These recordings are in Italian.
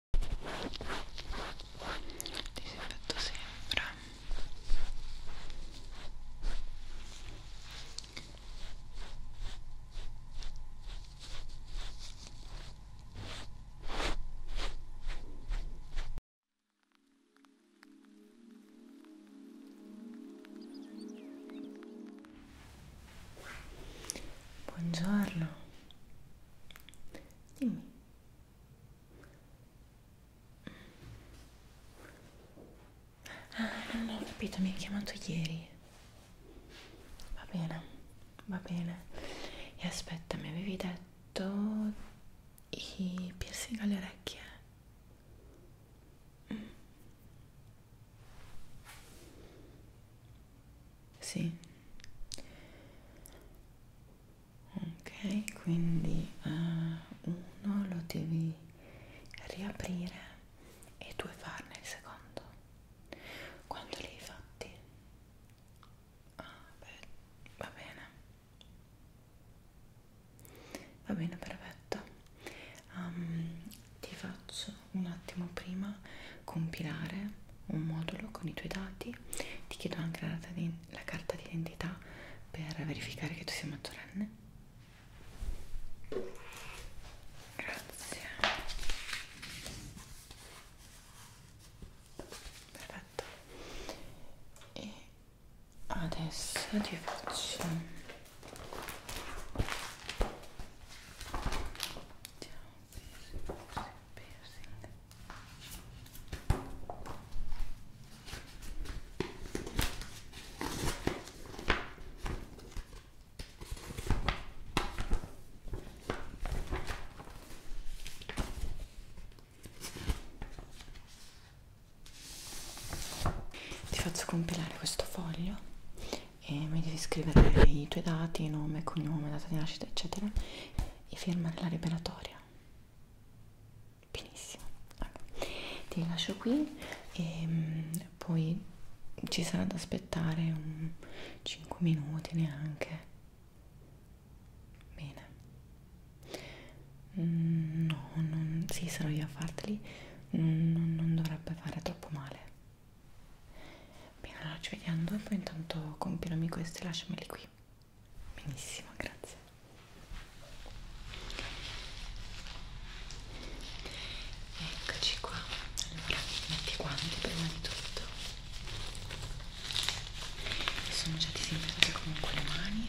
disinfetto sempre Buongiorno, Dimmi. Ah, non ho capito, mi hai chiamato ieri. Va bene, va bene. E aspetta, mi avevi detto i piercing alle orecchie. Mm. Sì. Ok, quindi uh, uno lo devi riaprire e due farne il secondo. Quando li hai fatti? Ah, beh, va bene. Va bene, perfetto. Um, ti faccio un attimo prima compilare un modulo con i tuoi dati, ti chiedo anche la, di, la carta d'identità per verificare che tu sia maggiorenne. Grazie. Perfetto. E adesso ti faccio Ciao piercing, piercing. Ti faccio compilare questo foglio e mi devi scrivere i tuoi dati, nome, cognome, data di nascita, eccetera e ferma nella liberatoria benissimo allora, ti lascio qui e ehm, poi ci sarà da aspettare un 5 minuti neanche bene mm, no non, sì sarò io a farteli non, non, non dovrebbe fare troppo male Bene, allora ci vediamo dopo, intanto compilami questi e lasciameli qui. Benissimo, grazie. Eccoci qua. Allora, metti i guanti prima di tutto. Mi sono già disinfettate comunque le mani.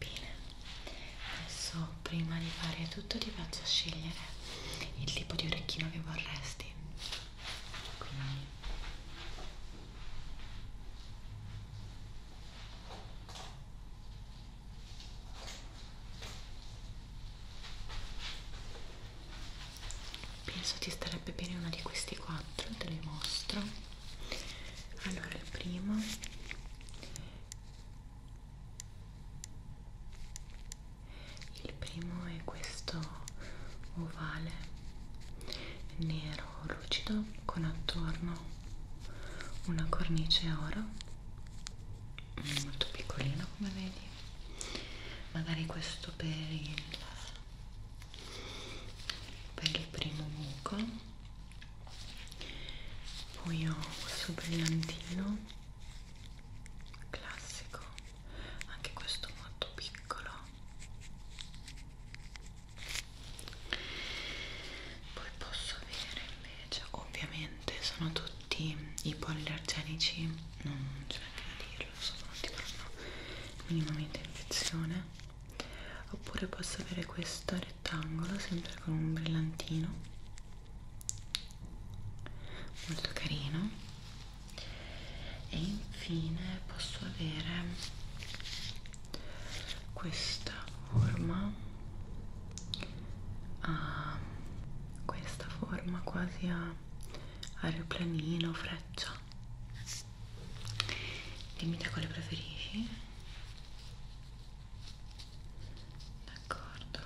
Bene, adesso prima di fare tutto ti faccio scegliere il tipo di orecchino che vorresti. Quindi penso ti starebbe bene uno di questi quattro te li mostro allora il primo il primo è questo ovale nero lucido con attorno una cornice oro molto piccolino come vedi magari questo per il per il primo buco poi ho questo brillantino classico anche questo molto piccolo poi posso avere invece ovviamente sono tutti i poliallergenici non c'è neanche da dirlo sono tutti per minimamente infezione oppure posso avere questo rettangolo sempre con un brillantino molto carino e infine posso avere questa forma a ah, questa forma quasi a aeroplanino freccia dimmi te quale preferisci d'accordo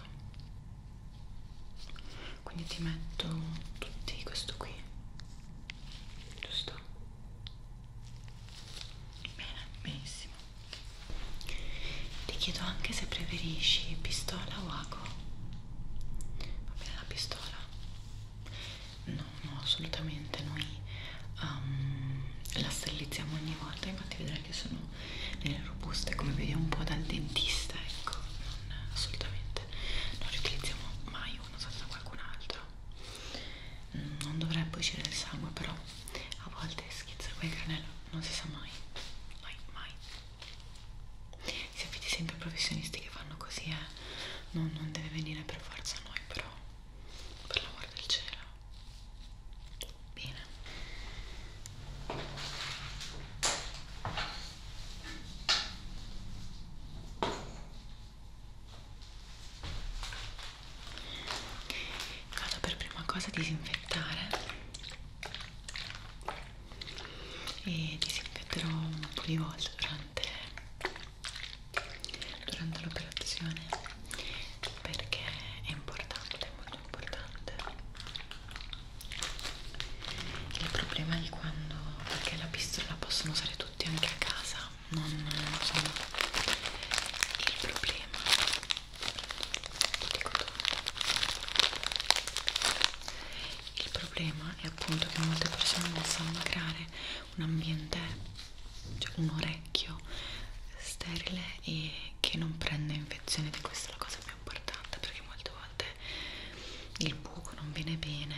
quindi ti metto tutti questo qui giusto bene benissimo ti chiedo anche se preferisci pistola o ago va bene la pistola no, no, assolutamente noi um, la sterilizziamo ogni volta, infatti vedrai che sono nelle robuste come vediamo un po' dal dentista, ecco, non, assolutamente non riutilizziamo mai uno senza qualcun altro, mm, non dovrebbe uscire il sangue però a volte schizza quel granello, non si sa mai, mai, mai. Si affidi sempre ai professionisti che fanno così, eh? non, non deve venire per forza a noi, però per l'amor del cielo bene vado per prima cosa a disinfettare e disinfetterò un po' di volte durante durante l'operazione perché è importante, è molto importante il problema di quando perché la pistola possono usare tutti anche a casa non insomma il problema lo dico tutto il problema è appunto che molte persone non sanno creare un ambiente, cioè un orecchio sterile e che non prende infezioni, di questa è la cosa più importante perché molte volte il buco non viene bene,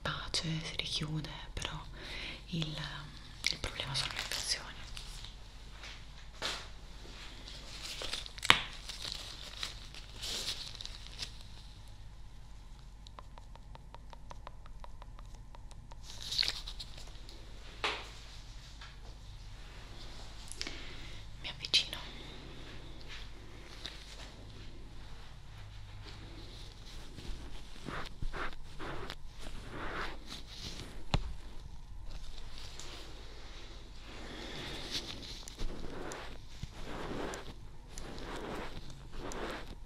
pace, si richiude, però il, il problema sono le infezioni mi avvicino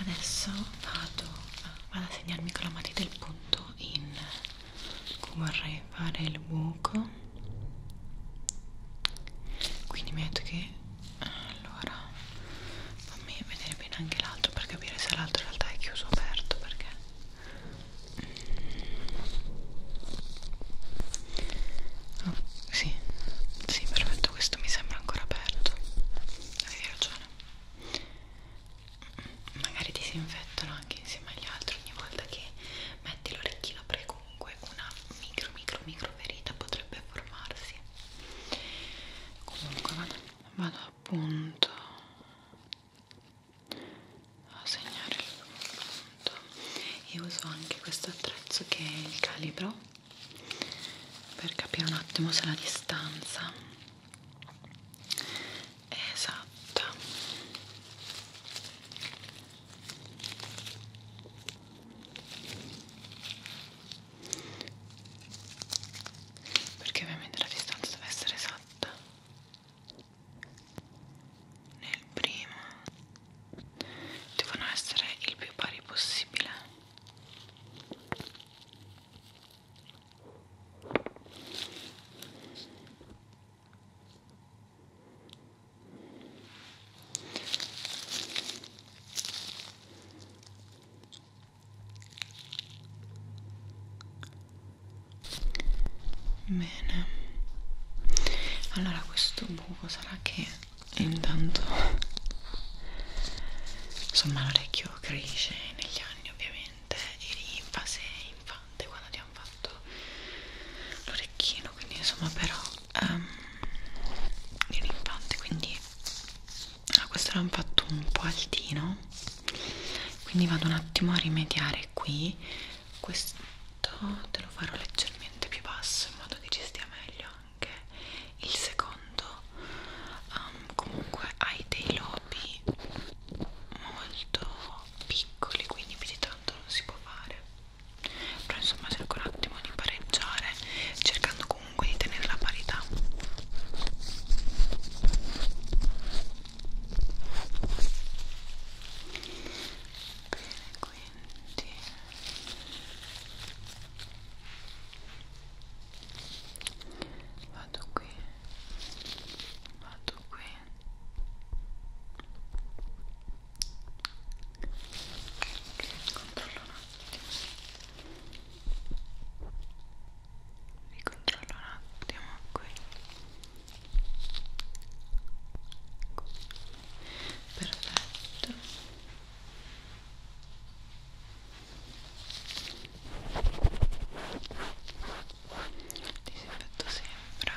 Adesso vado, vado a segnarmi con la matita il punto in cui vorrei fare il buco quindi metto che allora fammi vedere bene anche l'altro per capire se l'altro in realtà è chiuso o aperto perché mm. oh, sì sì perfetto questo mi sembra ancora aperto avevi ragione mm, magari disinfettano anche insieme agli altri ogni volta che metti l'orecchino prego comunque una micro micro micro ferita potrebbe formarsi comunque vado, vado appunto a segnare il punto e uso anche questo attrezzo che è il calibro per capire un attimo se la distanza è esatta perché ovviamente la distanza deve essere esatta nel primo devono essere il più pari possibile Bene, allora questo buco sarà che intanto insomma l'orecchio cresce negli anni ovviamente e rinfa se infante quando ti hanno fatto l'orecchino quindi insomma però um, di ah, un implante quindi a questo l'hanno fatto un po' altino quindi vado un attimo a rimediare qui questo te lo farò leggermente più basso in modo che ci stia meglio anche il secondo um, comunque hai dei lobi molto piccoli quindi più di tanto non si può fare però insomma cerco un attimo di pareggiare cercando comunque di tenere la parità bene quindi vado qui vado qui controllo un attimo vi controllo un attimo qui perfetto disinfetto sempre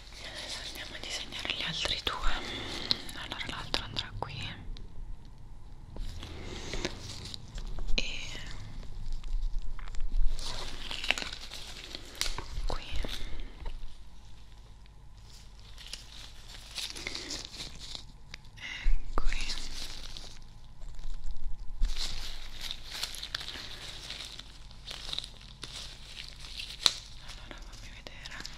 adesso andiamo a disegnare gli altri due allora l'altro andrà qui e qui e ecco. qui allora fammi vedere L'altro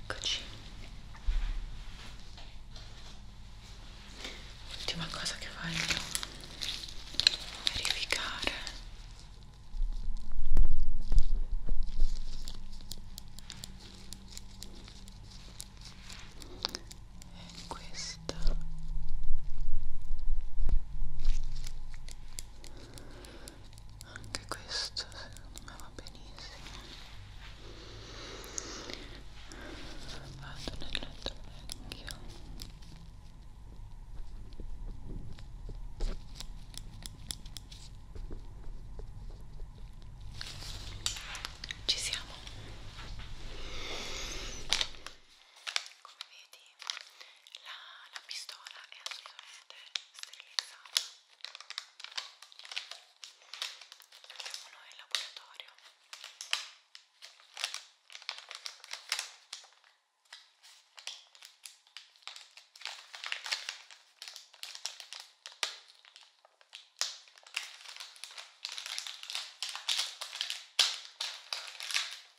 Eccoci. L'ultima cosa che voglio verificare questa anche questo secondo me va benissimo vado nel letto vecchio ci siamo come vedi la, la pistola è assolutamente sterilizzata abbiamo noi in laboratorio Ecco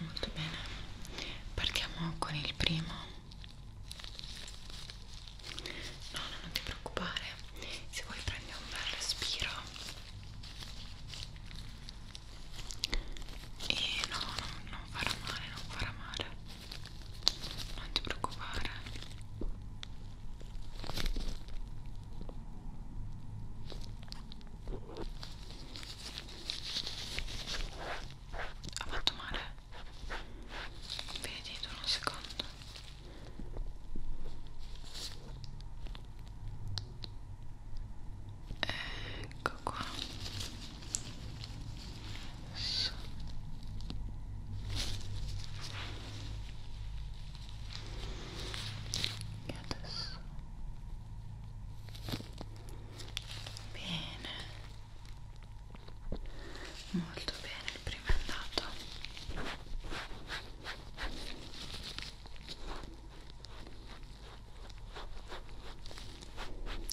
molto bene partiamo con il primo no, no non ti preoccupare se vuoi prendi un bel respiro e no, non, non farà male non farà male non ti preoccupare ha fatto male vedi tu un secondo ecco qua su e adesso Bene, molto bene, il primo è andato.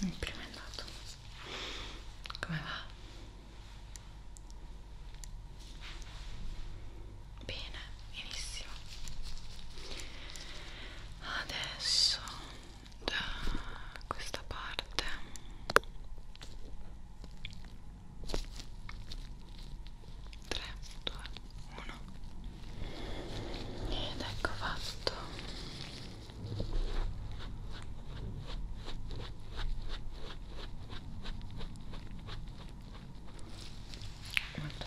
Il primo è andato. Come va? Bene, benissimo. Adesso da questa parte tre, due, uno ed ecco fatto molto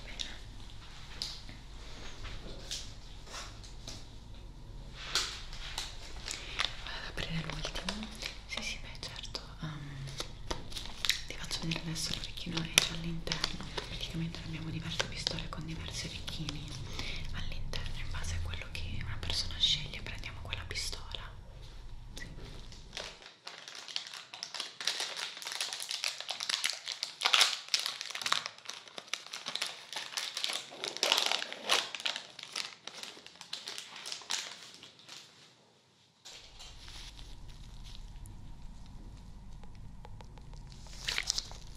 bene Vado ad aprire l'ultimo. Sì, sì, beh, certo. Um, ti faccio vedere adesso l'orecchino è all'interno. Praticamente abbiamo diverse pistole con diversi orecchini all'interno. In base a quello che una persona sceglie, prendiamo quella pistola. Sì.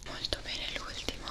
Molto bene l'ultimo.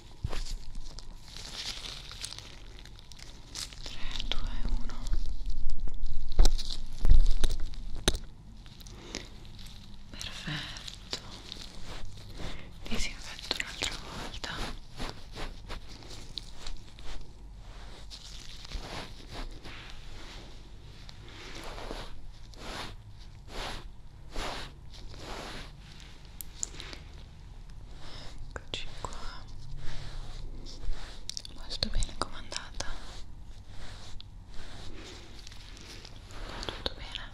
3, 2, 1 perfetto disinfetto un'altra volta Eccoci qua molto bene comandata tutto bene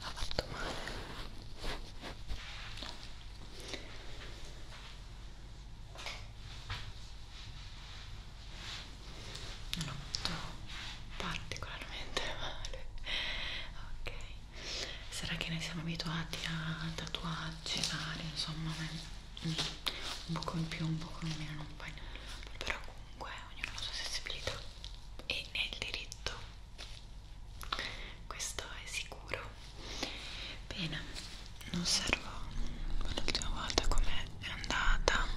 ha fatto male no. non ho fatto particolarmente male ok sarà che noi siamo abituati a tatuaggi vari insomma un po' in più un po' in meno non fai nulla però comunque ognuno ha la sua sensibilità e ne il diritto questo è sicuro bene non servo l'ultima volta com'è andata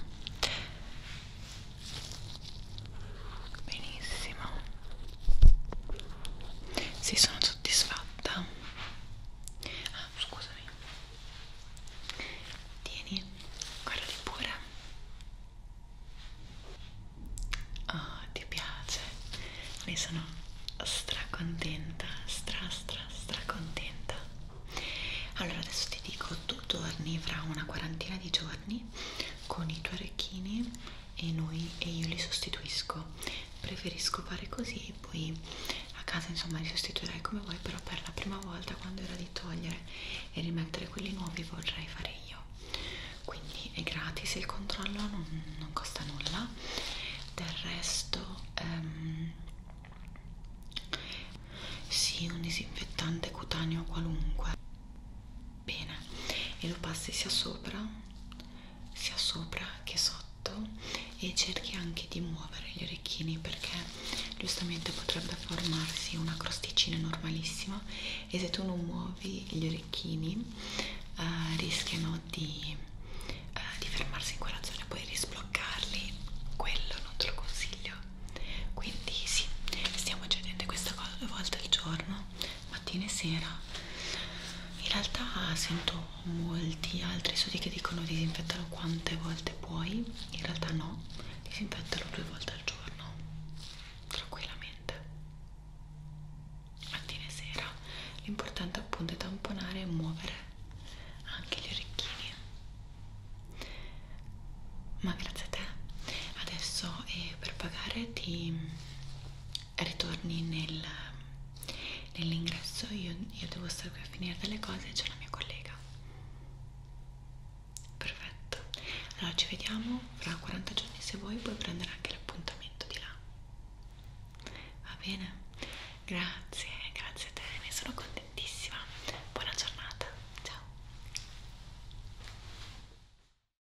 benissimo sì sono soddisfatta ah scusami tieni guardali pure oh ti piace ne sono stracontenta stra stra stracontenta allora adesso ti dico tu torni fra una quarantina di giorni con i tuoi orecchini e, noi, e io li sostituisco preferisco fare così poi a casa insomma li sostituirai come vuoi però per la prima volta quando era di togliere e rimettere quelli nuovi vorrei fare io quindi è gratis il controllo non, non costa nulla del resto ehm, sì un disinfettante cutaneo qualunque bene e lo passi sia sopra sia sopra che sotto e cerchi anche di muovere gli orecchini perché giustamente potrebbe formarsi una crosticina normalissima e se tu non muovi gli orecchini eh, rischiano di, eh, di fermarsi in quella zona e poi risbloccarli quello non te lo consiglio quindi sì stiamo cedendo questa cosa due volte al giorno mattina e sera in realtà sento molti altri studi che dicono disinfettalo quante volte puoi in realtà no disinfettalo due volte al giorno tranquillamente mattina e sera l'importante appunto è tamponare e muovere anche gli orecchini ma grazie a te adesso eh, per pagare ti ritorni nel, nell'ingresso io, io devo stare qui a finire delle cose c'è la mia collega perfetto allora ci vediamo fra 40 giorni se vuoi puoi prendere anche l'appuntamento di là va bene? grazie, grazie a te ne sono contentissima buona giornata, ciao